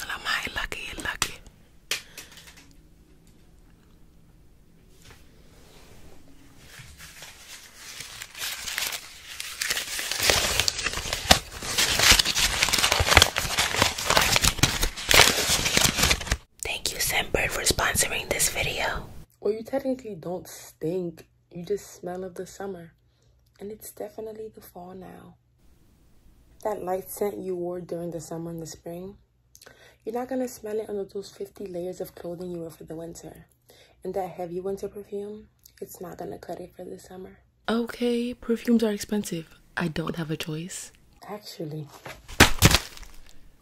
Hello, my lucky, lucky. Thank you, Scentbird, for sponsoring this video. Well, you technically don't stink. You just smell of the summer. And it's definitely the fall now. That light scent you wore during the summer and the spring, you're not gonna smell it under those 50 layers of clothing you wear for the winter. And that heavy winter perfume, it's not gonna cut it for the summer. Okay, perfumes are expensive. I don't have a choice. Actually,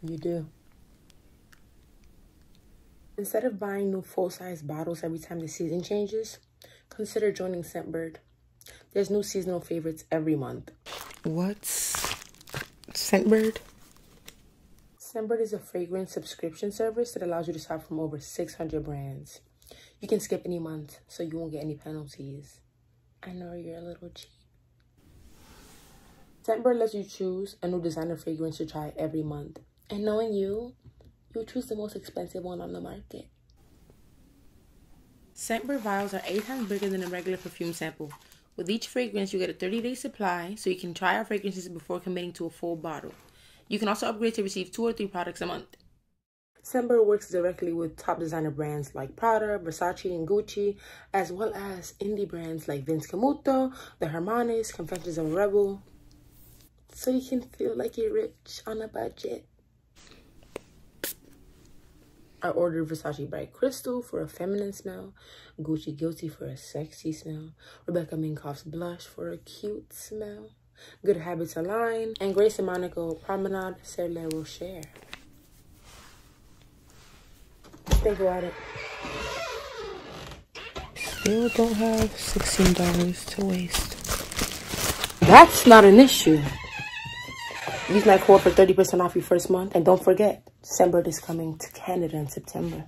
you do. Instead of buying new full size bottles every time the season changes, consider joining Scentbird. There's new seasonal favorites every month. What's Scentbird? Scentbird is a fragrance subscription service that allows you to shop from over 600 brands. You can skip any month, so you won't get any penalties. I know you're a little cheap. Scentbird lets you choose a new designer fragrance to try every month. And knowing you, you choose the most expensive one on the market. Scent vials are eight times bigger than a regular perfume sample. With each fragrance, you get a 30 day supply so you can try our fragrances before committing to a full bottle. You can also upgrade to receive two or three products a month. Sember works directly with top designer brands like Prada, Versace, and Gucci, as well as indie brands like Vince Camuto, The Hermanes, Confessions of Rebel. So you can feel like you're rich on a budget. I ordered Versace Bright Crystal for a feminine smell, Gucci Guilty for a sexy smell, Rebecca Minkoff's Blush for a cute smell, Good Habits Align, and Grace and Monaco Promenade Serle Share. Think about it. Still don't have $16 to waste. That's not an issue. Use my code for 30% off your first month. And don't forget, December is coming to Canada in September.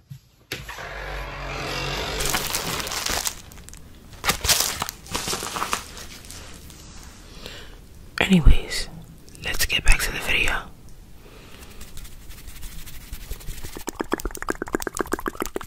Anyways, let's get back to the video.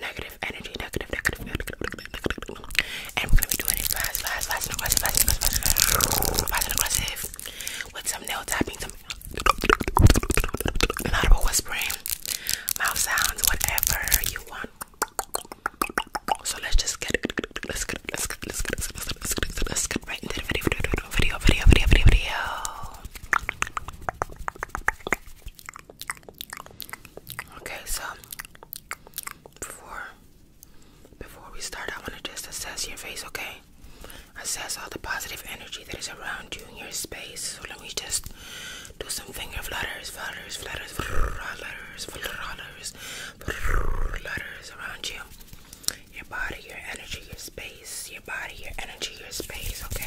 negative energy, negative, negative, negative, negative, negative, and we're gonna be doing it fast, fast, fast and aggressive, fast and aggressive, fast and aggressive, with some nail tapping, some audible whispering, mouth sounds, whatever you want. So let's just get, let's get, let's get, let's get, let's get, let's get, let's get right into the video, video, video, video, video, video. Okay, so before before we start, I want to just assess your face, okay? Assess all the positive energy that is around you in your space. So let me just do some finger flutters, flutters, flutters, flutters, flutters, flutters around you. Your body, your energy, your space. Your body, your energy, your space. Okay.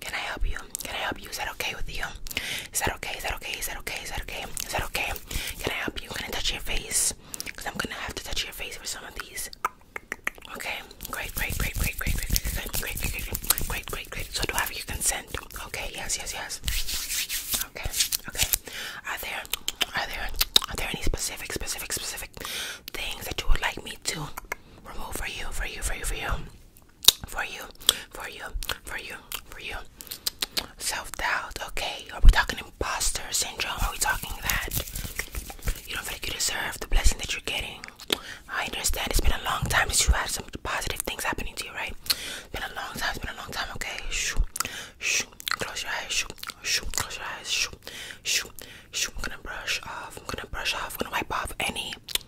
Can I help you? Can I help you? Is that okay with you? Is that okay? Is that okay? Is that okay? Is that okay? Is that okay? Can I help you? Can I touch your face? Because I'm gonna have to touch your face for some of these. Okay, great, great, great, great, great, great, great, great, great, great, great, great. So do I have your consent? Okay, yes, yes, yes. Okay, okay. Are there are there are there any specific specific specific things that you would like me to remove for you, for you, for you, for you? for you, for you, for you, for you. Self-doubt, okay? Are we talking imposter syndrome? Are we talking that? You don't feel like you deserve the blessing that you're getting. I understand it's been a long time since you had some positive things happening to you, right? It's been a long time, it's been a long time, okay? Shoo, shoo, close your eyes, shoo, shoo, close your eyes, shoo, shoo, shoo. I'm gonna brush off, I'm gonna brush off, I'm gonna wipe off any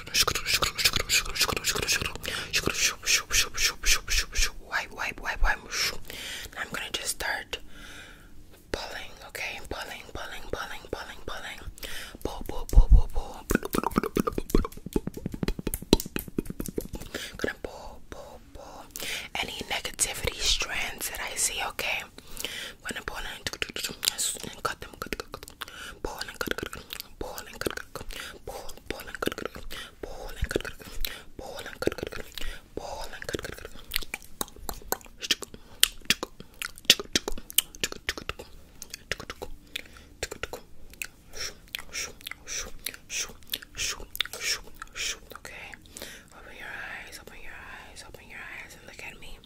Wipe, wipe, wipe, wipe. I'm gonna just start pulling, okay? Pulling, pulling, pulling, pulling, pulling. Gonna pull, pull, pull. Any negativity strands that I see, okay? gonna pull and cut them, Pull and Pull and Okay. Open your eyes, open your eyes, open your eyes, and look at me.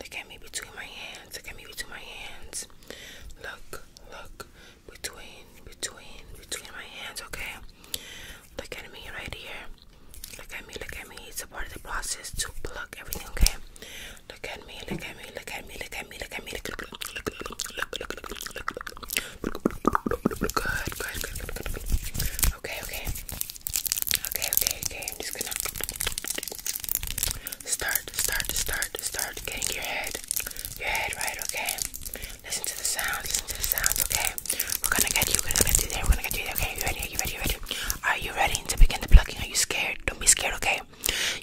Look at me between my hands. Look at me between my hands. Look, look, look between between between my hands okay look at me right here look at me look at me it's a part of the process to pluck everything okay look at me look at me look at me look at me look at me look look look look look look look look good good good good good okay okay okay okay okay I'm just gonna Start, start, start, start getting your head, your head right, okay? Listen to the sound, listen to the sounds, okay? We're gonna get you, we're gonna get you there, we're gonna get you there, okay? You ready, are you ready, you ready? Are you ready to begin the plucking? Are you scared? Don't be scared, okay?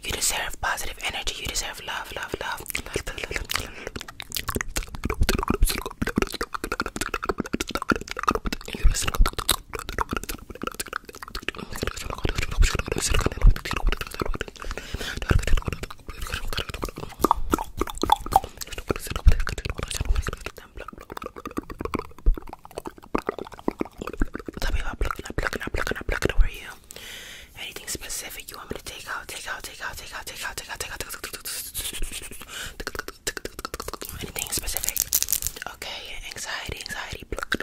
You deserve positive energy, you deserve love, love, love. You deserve Tell me about plucking up, plucking up, plucking up, plucking over you. Anything specific you want me to take out, take out, take out, take out, take out, take out, take out, anything specific? Okay, anxiety, anxiety, pluck,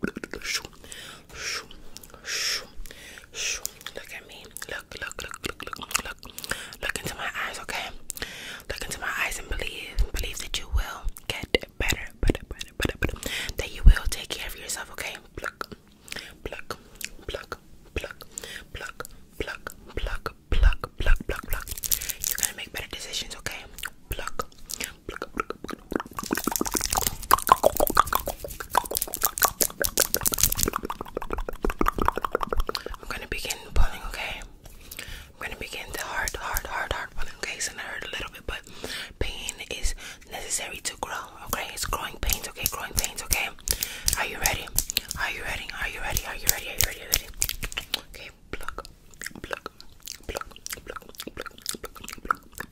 Look at me. Look, look, look, look, look, look. Look into my eyes, okay? Look into my eyes and believe. Believe that you will get better, better, better, better, better. That you will take care of yourself, okay? Pluck, pluck, pluck, pluck, pluck, pluck, pluck, pluck, pluck, pluck, pluck. You're gonna make better decisions, okay? Pluck, pluck, pluck, pluck, I'm gonna begin pulling, okay? I'm gonna begin the hard, hard, hard, hard pulling, okay? So I hurt a little bit, but pain is necessary to grow, okay? It's growing pains, okay? Growing pains, okay? Are you ready? Are you ready? Are you ready? Are you ready? Are you ready? Okay, pluck, pluck, pluck, pluck, pluck, pluck, pluck, Okay, so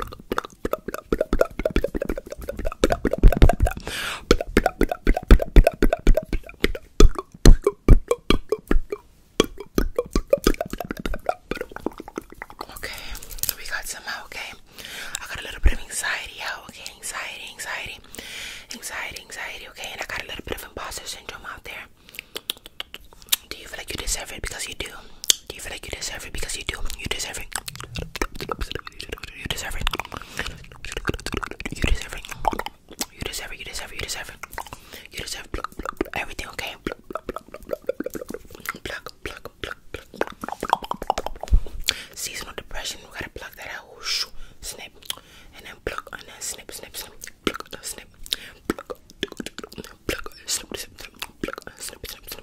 we got some out, okay? I got a little bit of anxiety out, okay? Anxiety, anxiety, anxiety, anxiety, okay? And I got a little bit of imposter syndrome out there. Do you feel like you deserve it? Because you do. Do you feel like you deserve it? Because you do. You deserve it. You deserve it. You deserve it. You deserve it. You deserve it. You deserve it. You deserve everything. Okay. Pluck, pluck, pluck, pluck. Seasonal depression. We gotta pluck that out. Snip, and then pluck, and then snip, snip, snip. Pluck, snip. Pluck, snip, snip, snip. Pluck, snip, snip, snip.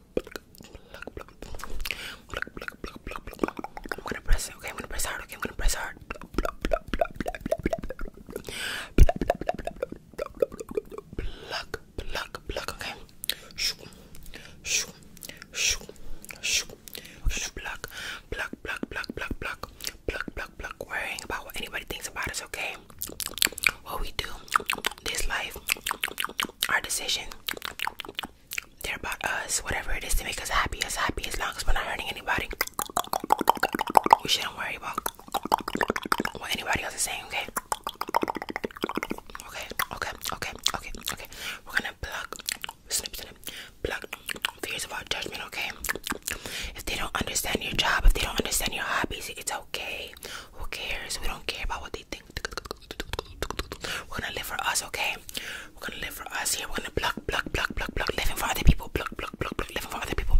I'm gonna press it. Okay, I'm gonna press hard. Okay, I'm gonna press hard. Pluck, pluck, pluck. Okay. Shoo, shoo, shoo, shoo. We're gonna pluck, pluck, pluck, pluck, pluck, pluck, pluck, pluck, pluck. Worrying about what anybody thinks about us. Okay. What we do this life, our decision, they're about us, whatever it is to make us happy, us happy as long as we're not hurting anybody. We shouldn't worry about what anybody else is saying, okay? Okay, okay, okay, okay, okay. We're gonna block, snip, snip, block fears about judgment, okay? If they don't understand your job, if they don't understand your hobbies, it's okay. Who cares? We don't care about what they think. We're gonna live for us, okay? We're gonna live for us here. We're gonna block, block, block, block, block, living for other people. Block, block, block, block, living for other people.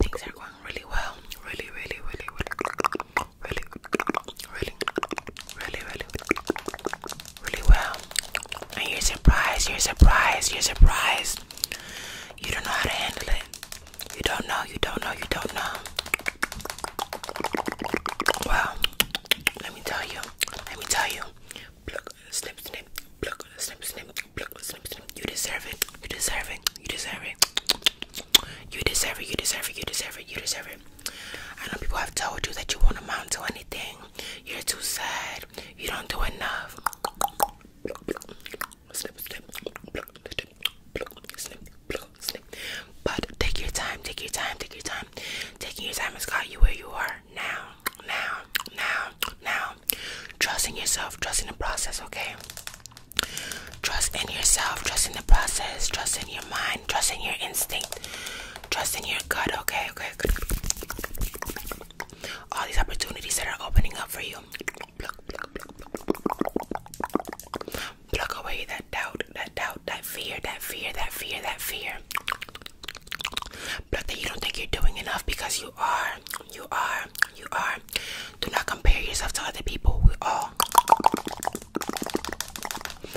Things are going really well. Really, really, really, really, really, really, really, really, really, really well. And you're surprised, you're surprised, you're surprised. You don't know how to handle it. You don't know, you don't know, you don't know. Well, let me tell you, let me tell you. Pluck, snip, snip, pluck, snip, snip, pluck, snip, snip. You deserve it, you deserve it, you deserve it. You deserve it, you deserve it, you deserve it, you deserve it. I know people have told you that you won't amount to anything. You're too sad. You don't do enough. But take your time, take your time, take your time. Taking your time has got you where you are now, now, now, now. Trust in yourself, trust in the process, okay? Trust in yourself, trust in the process, trust in your mind, trust in your instinct. Trust in your gut, okay? Okay. All these opportunities that are opening up for you. Pluck, pluck, pluck, pluck. pluck away that doubt, that doubt, that fear, that fear, that fear, that fear. Pluck that you don't think you're doing enough because you are, you are, you are. Do not compare yourself to other people. We all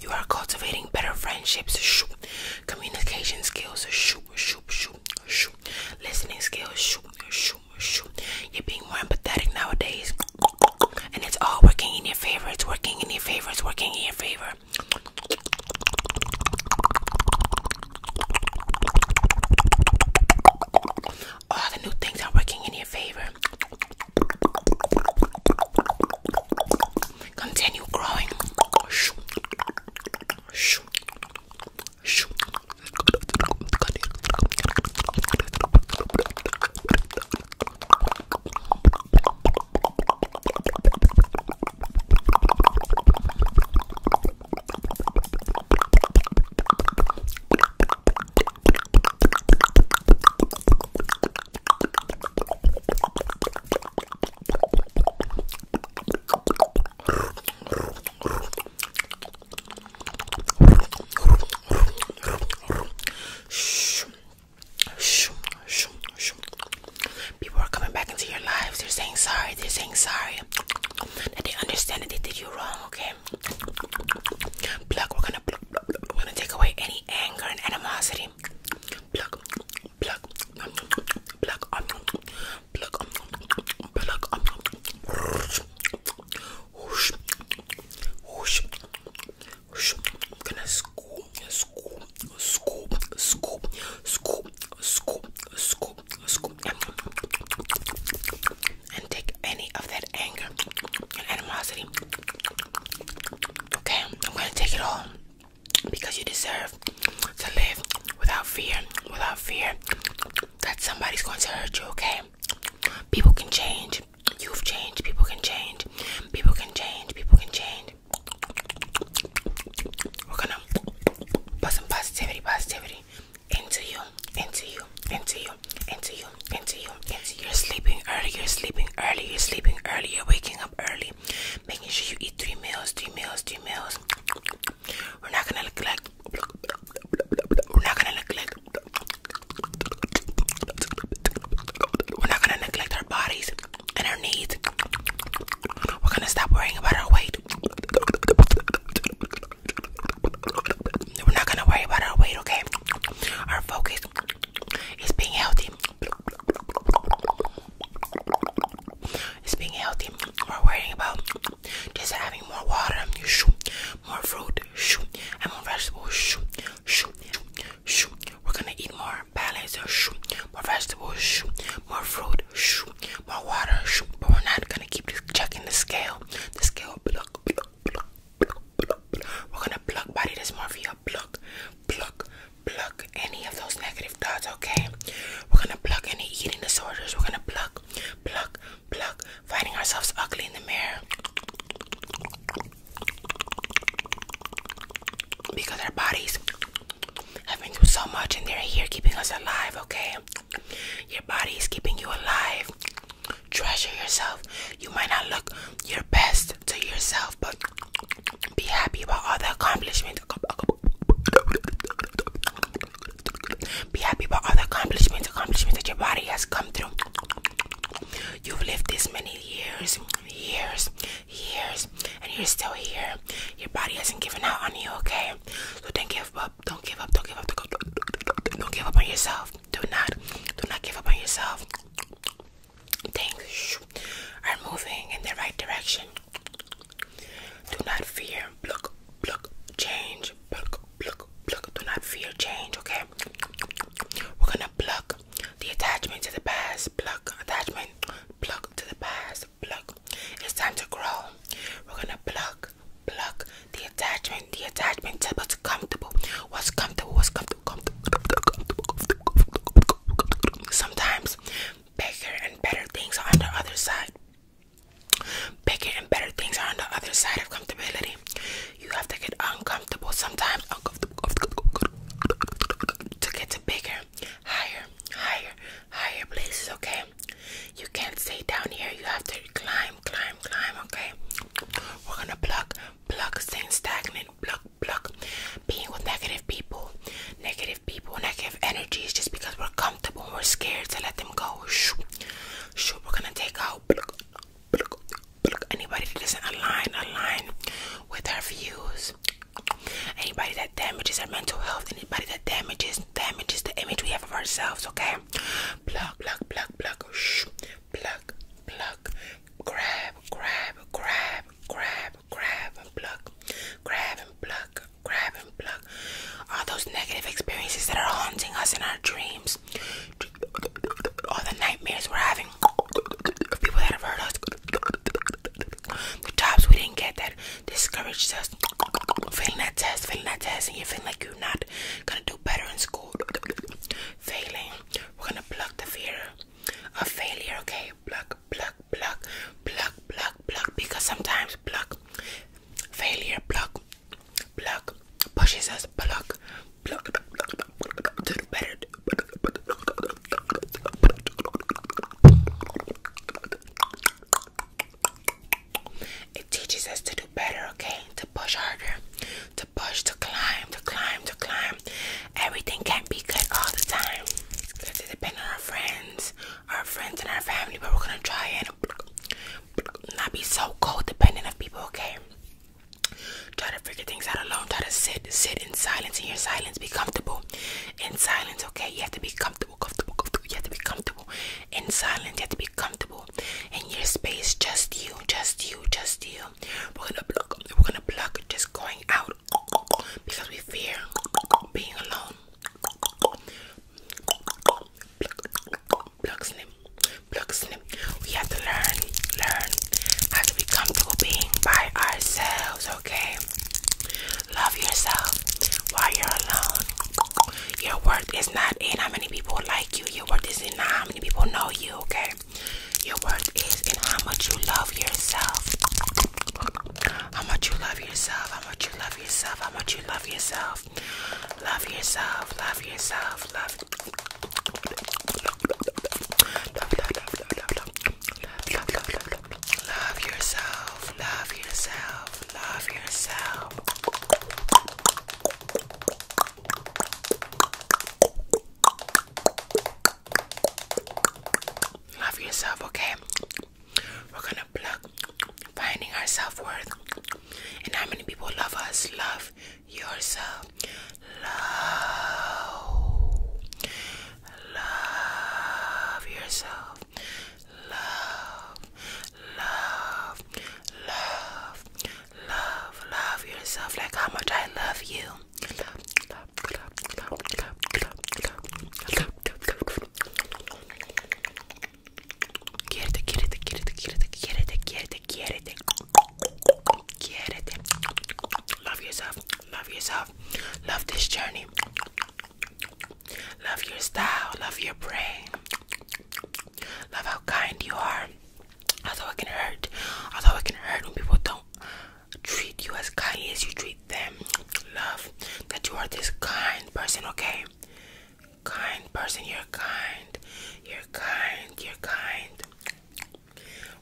you are cultivating better friendships. communication skills. Listening skills. You're being more empathetic nowadays, and it's all working in your favor. It's working in your favor. It's working in your favor all the new things are working in your favor. Continue growing. People are coming back into your lives. They're saying sorry. They're saying sorry. That they understand that they did you wrong, okay? okay? Pluck, we're gonna pluck, pluck, pluck. We're gonna take away any anger and animosity. Pluck, pluck, pluck, um, pluck, um, pluck, um, whoosh, whoosh, whoosh, whoosh. I'm gonna scoop, scoop, scoop, scoop, scoop, scoop, scoop, scoop, scoop, and take any of that anger animosity. Okay, I'm gonna take it all because you deserve to live without fear, without fear that somebody's going to hurt you. Okay, people can change. You've changed. People can change. People can change. People can change. We're gonna put some positivity, positivity, into you, into you, into you, into you, into you, into you. You're sleeping early, you're sleeping early, you're sleeping early, you're waking up early, making sure you eat three meals, three meals, three meals. We're not gonna look like we're not gonna neglect we're not gonna neglect our bodies and our needs. We're gonna stop worrying about our weight. We're not gonna worry about our weight, okay? Our focus is being healthy. It's being healthy. We're worrying about just having more water, more fruit, and more vegetables. We're gonna eat more balanced, more vegetables, more fruit, more water. But we're not gonna keep checking the scale the scale pluck, pluck, pluck, pluck, pluck, We're gonna pluck body dysmorphia, pluck, pluck, pluck any of those negative thoughts, okay? We're gonna pluck any eating disorders, we're gonna pluck, pluck, pluck, finding ourselves ugly in the mirror. Because our bodies have been through so much and they're here keeping us alive, okay? Your body is keeping you alive. Treasure yourself. You might not look your best to yourself, but be happy about all the accomplishments. Be happy about all the accomplishments, accomplishments that your body has come through. You've lived this many years, years, years, and you're still here. Your body hasn't given out on you, okay? So don't give up. Don't give up. Don't give up. Don't give up on yourself. Do not. Do not give up on yourself. Things are moving in the right direction. Do not fear. Look. Look. Change. Look. Look. Look. Do not fear change. Okay. We're gonna pluck the attachment to the past. Pluck attachment. Pluck to the past. Pluck. It's time to grow. We're gonna pluck Pluck the attachment, the attachment tip was comfortable. What's comfortable, what's comfortable, comfortable. Sometimes bigger and better things are on the other side. Bigger and better things are on the other side of comfortability. You have to get uncomfortable sometimes, uncomfortable to get to bigger, higher, higher, higher places, okay? You can't stay down here. You have to climb, climb, climb. Okay. We're gonna pluck, pluck, staying stagnant, pluck, pluck. Being with negative people, negative people, negative energies. Just because we're comfortable, and we're scared to let them go. Shoot, shoot. We're gonna take out. Pluck, pluck, pluck. Anybody that doesn't align, align with our views. Anybody that damages our mental health, anybody that damages damages the image we have of ourselves, okay? Pluck, pluck, pluck, pluck, shh, pluck, pluck, grab, grab, grab, grab, grab, pluck, grab and pluck, grab and pluck. All those negative experiences that are haunting us in our dreams, all the nightmares we're having, people that have hurt us, the jobs we didn't get that discouraged us. Failing that test, failing that test, and you feel like you're not God. Gonna do better in school. Failing. We're gonna block the fear of failure, okay? Block, block, block, block, block, block. Because sometimes block, failure, block, block, pushes us, block, block, block, block, block, block. do better. It teaches us to do better, okay? To push harder, to push, to climb, to climb, to climb. Everything can't be good all the time. Let's depend on our friends, our friends and our family, but we're gonna try and not be so cold dependent on people, okay? Try to figure things out alone. Try to sit, sit in silence in your silence. Be comfortable in silence, okay? You have to be comfortable comfortable, comfortable, You have to be comfortable in silence. You have to be comfortable in your space. Just you, just you, just you. We're gonna block. We're gonna block just going out because we fear being alone. Block, block, snip, block, snip. We have to learn, learn Have to be comfortable being by ourselves. Okay. Love yourself while you're alone your worth is not in how many people like you. Your worth is in how many people know you, okay? Your worth is in how much you love yourself. How much you love yourself, how much you love yourself, how much you love yourself. Love yourself, love yourself, love. Love, love, love, love, love, love. Love yourself, love yourself. Love yourself. Love yourself, okay? We're gonna plug finding our self worth. And how many people love us? Love yourself. Love. Love yourself love, love, love, love, love, yourself like how much I love you. Quiérete, quiérete, quiérete, quiérete, quiérete, quiérete, quiérete. Quiérete. Love yourself. Love yourself. Love this journey. Love your style, love your brain, love how kind you are. Although it can hurt, although it can hurt when people don't treat you as kindly as you treat them. Love that you are this kind person, okay? Kind person, you're kind, you're kind, you're kind.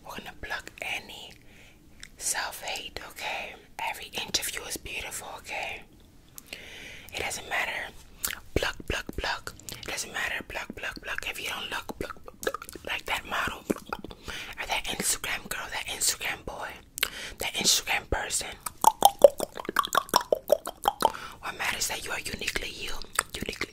We're gonna block any self hate, okay? Every interview of is beautiful, okay? It doesn't matter. Pluck, pluck, pluck. It doesn't matter. Pluck, pluck, pluck. If you don't look pluck, pluck, like that model, or that Instagram girl, that Instagram boy, that Instagram person. What matters is that you are uniquely you. Uniquely.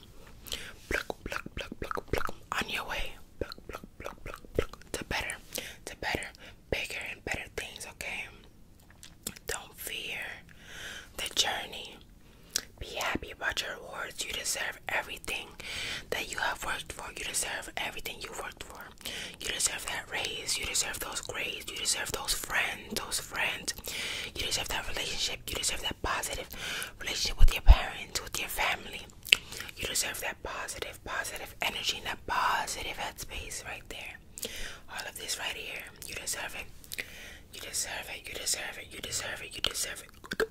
pluck, pluck, pluck, pluck, pluck, on your way, pluck, pluck, pluck, pluck, pluck, to better, to better, bigger and better things, okay? Don't fear the journey. Be happy about your awards. You deserve everything that you have worked for. You deserve everything you've worked for. You deserve that raise. You deserve those grades. You deserve those friends, those friends. You deserve that relationship. You deserve that positive relationship with your parents, with your family. You deserve that positive, positive energy and that positive headspace right there. All of this right here. You deserve it. You deserve it. You deserve it. You deserve it. You deserve it.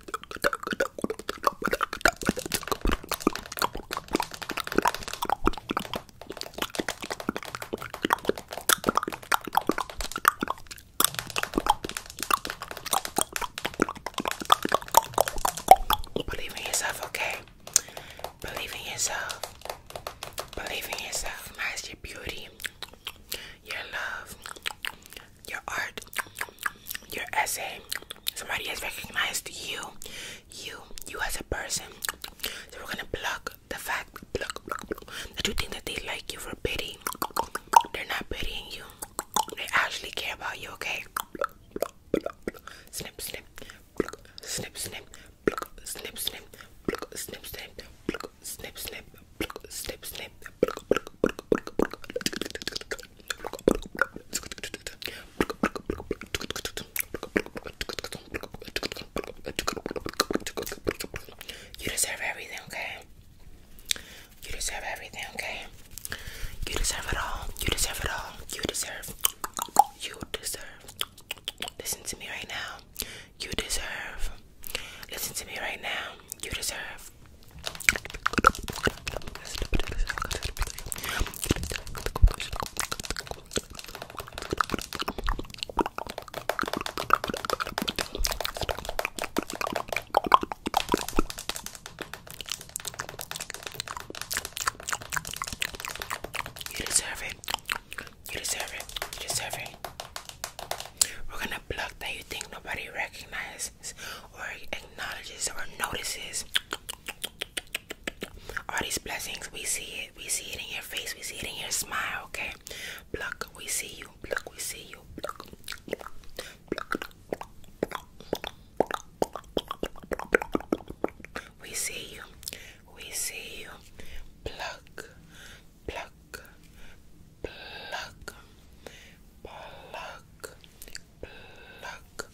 Believe in yourself, okay? Believe in yourself. Believe in yourself. Master your beauty, your love, your art, your essay. Somebody has recognized you, you, you as a person. So we're gonna block the fact block, block, block, that you think that they like you for pity. They're not pitying you. They actually care about you, okay? Snip, snip, snip, snip, snip, snip, snip, snip, snip, snip, snip, snip, you deserve everything, okay? You deserve everything, okay? You deserve it all. You deserve it all. You deserve. You deserve. Listen to me right now. You deserve. Listen to me right now. You deserve. You deserve it. You deserve it. You deserve it. We're gonna plug that you think nobody recognizes or acknowledges or notices. All these blessings, we see it. We see it in your face. We see it in your smile, okay? Pluck, we see you. Pluck, we see you. Pluck. We see you. We see you. Pluck, pluck, pluck, pluck, pluck.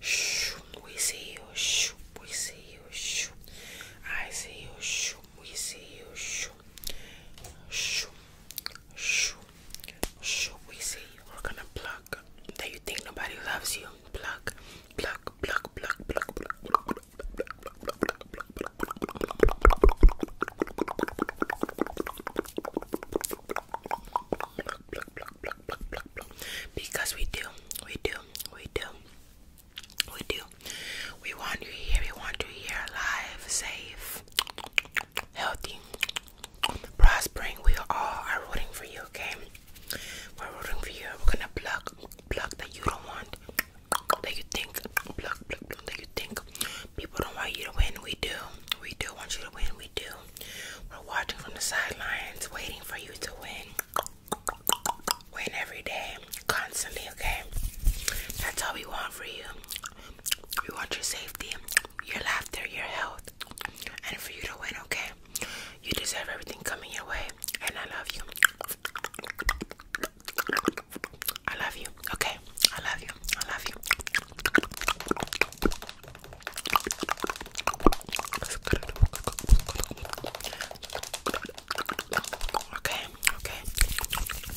Shh, we see you. Shh, we see you. Shh, I see you. Shh, we see you. Shh, shh, Shoo. Shoo. We see we're gonna pluck. That you think nobody loves you. Pluck. Pluck. Pluck. Pluck. Pluck. Pluck. Pluck. Pluck. Because we do, we do, we do, we do. We want you here, we want you here alive, safe, healthy, prospering. We all are rooting for you, okay? We're rooting for you. We're gonna block, block that you don't want, that you think, block, block pluck that you think people don't want you to win. We do. We do want you to win. We do. We're watching from the sidelines, waiting for you to win. Win every day, constantly, okay? That's all we want for you. We want your safety, your laughter, your health, and for you to win, okay? You deserve everything coming your way, and I love you. I love you, okay? I love you. I love you. Okay, okay.